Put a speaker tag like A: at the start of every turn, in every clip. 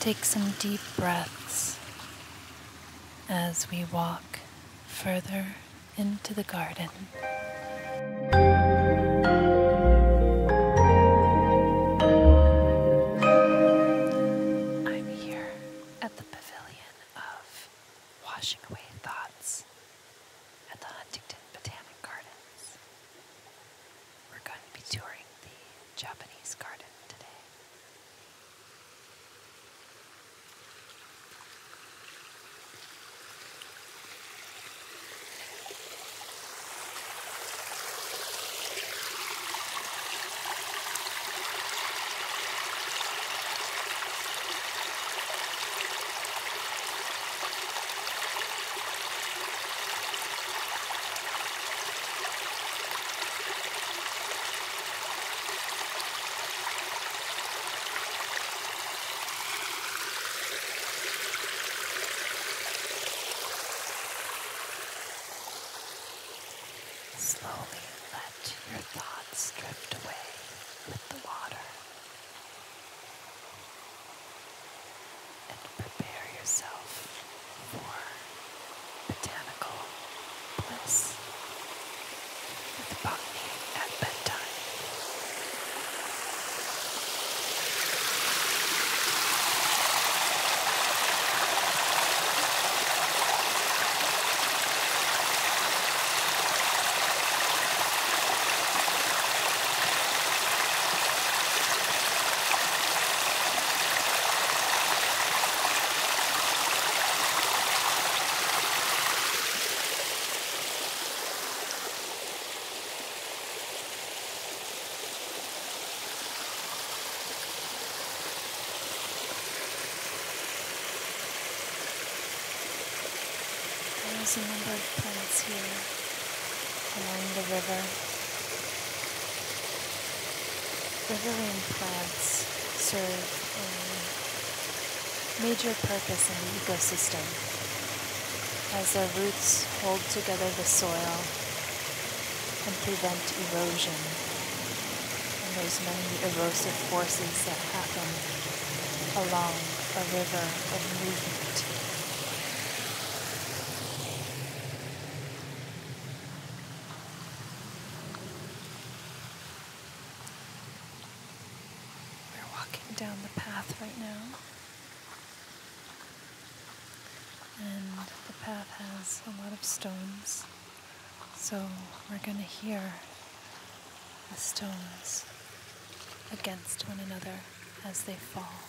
A: Take some deep breaths as we walk further into the garden. I'm here at the Pavilion of Washing Away Thoughts at the Huntington Botanic Gardens. We're going to be touring the Japanese garden today. Slowly let your thoughts drift away with the water and prepare yourself for botanical bliss with botany at bedtime. There's a number of planets here along the river. Riverine plants serve a major purpose in the ecosystem as their roots hold together the soil and prevent erosion. And there's many erosive forces that happen along a river of movement. We're walking down the path right now. And the path has a lot of stones, so we're going to hear the stones against one another as they fall.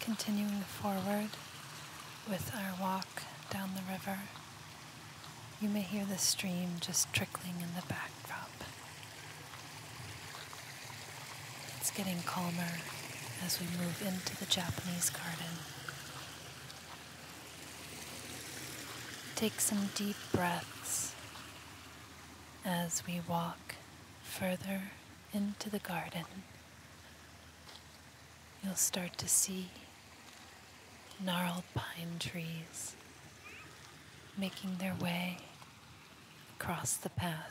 A: continuing forward with our walk down the river. You may hear the stream just trickling in the backdrop. It's getting calmer as we move into the Japanese garden. Take some deep breaths as we walk further into the garden. You'll start to see gnarled pine trees making their way across the path.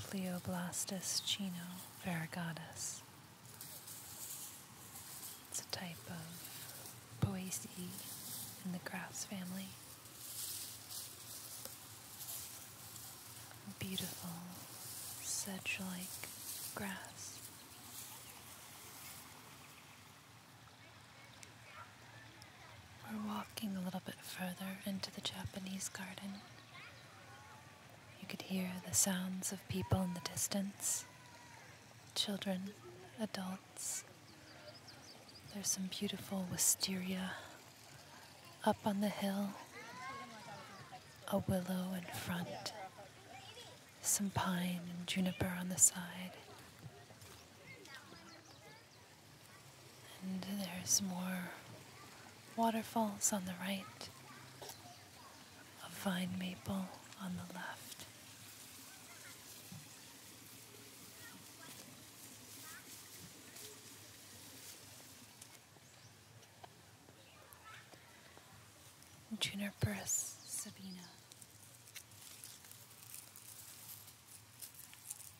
A: Pleoblastus chino variegatus. It's a type of Poaceae in the grass family. Beautiful sedge-like grass. We're walking a little bit further into the Japanese garden. You could hear the sounds of people in the distance children, adults. There's some beautiful wisteria up on the hill, a willow in front, some pine and juniper on the side. And there's more waterfalls on the right, a vine maple on the left. Juniperus sabina.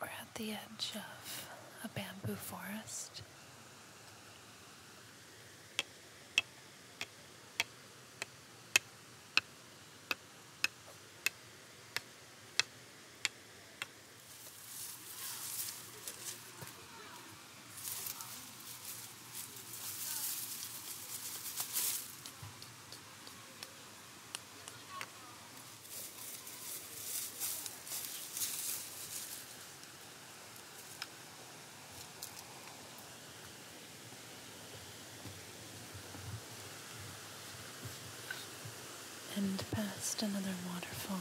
A: We're at the edge of a bamboo forest and past another waterfall.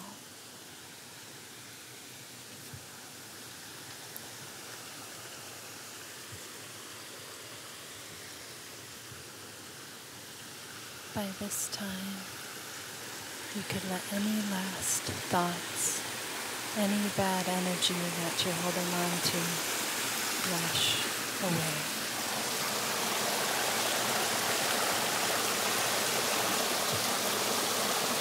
A: By this time, you could let any last thoughts, any bad energy that you're holding on to, wash away.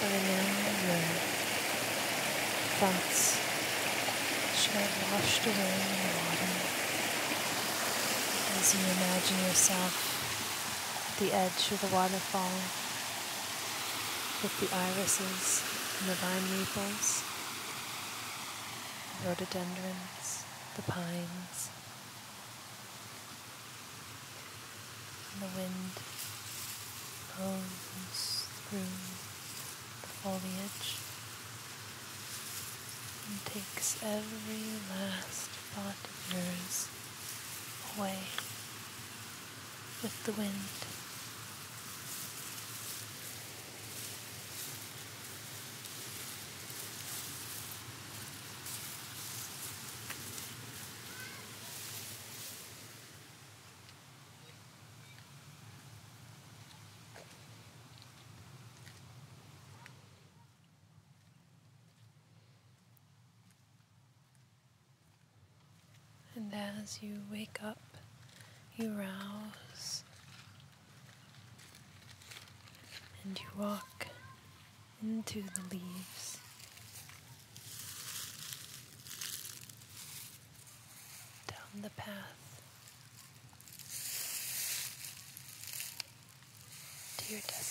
A: remember thoughts which are washed away in the water. As you imagine yourself at the edge of the waterfall with the irises and the vine maples, the rhododendrons, the pines, and the wind blows through the foliage and takes every last thought of yours away with the wind. And as you wake up, you rouse and you walk into the leaves. Down the path to your destiny.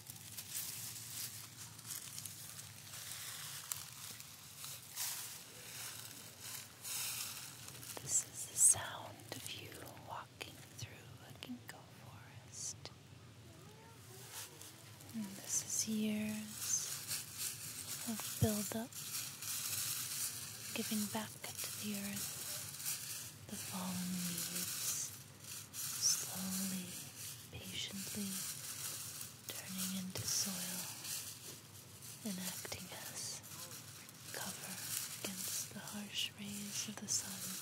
A: This is the sound of you walking through a ginkgo forest. this is years of buildup, giving back to the earth the fallen leaves slowly, patiently turning into soil and acting as cover against the harsh rays of the sun.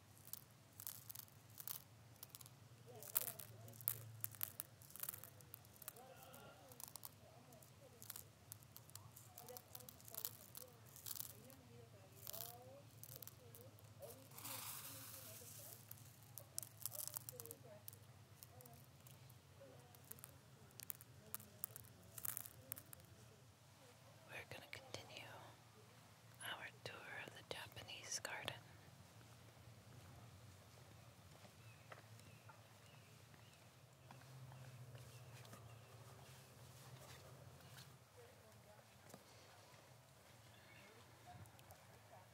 A: We're going to continue our tour of the Japanese garden.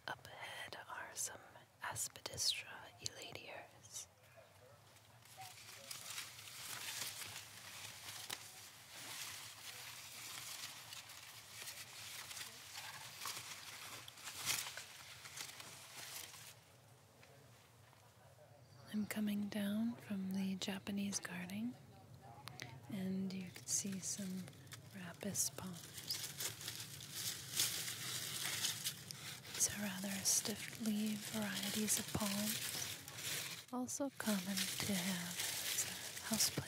A: Up ahead are some Aspidistra elatiers. I'm coming down from the Japanese garden and you can see some Rapis palms. These are rather stiff leaf varieties of palms, also common to have as a houseplant.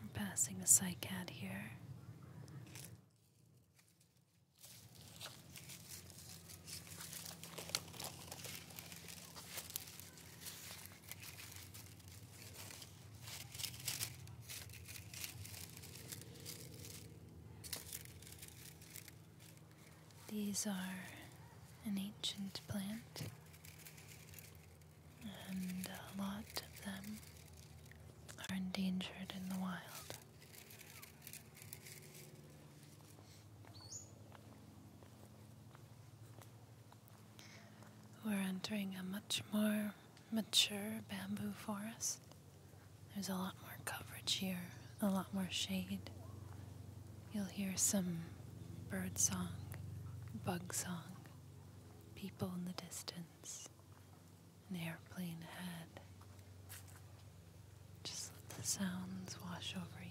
A: I'm passing the psych here. These are an ancient plant and a lot of them are endangered in the wild. We're entering a much more mature bamboo forest. There's a lot more coverage here, a lot more shade. You'll hear some bird song, bug song, people in the distance, an airplane ahead. Just let the sounds wash over you.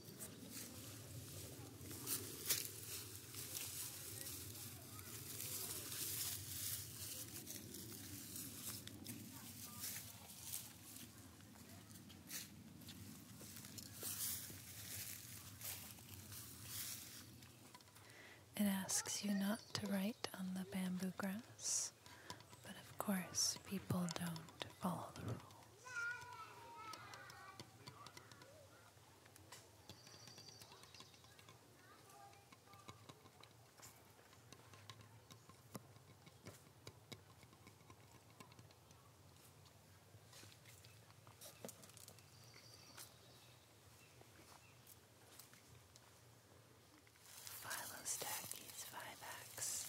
A: It asks you not to write on the bamboo grass, but of course, people don't follow the rules. Philo Stacky's Vivax.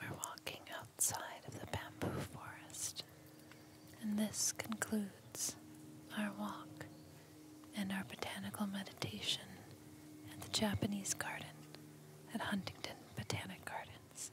A: We're walking outside of the bamboo forest, and this concludes our walk and our botanical meditation at the Japanese garden at Huntington Botanic Gardens.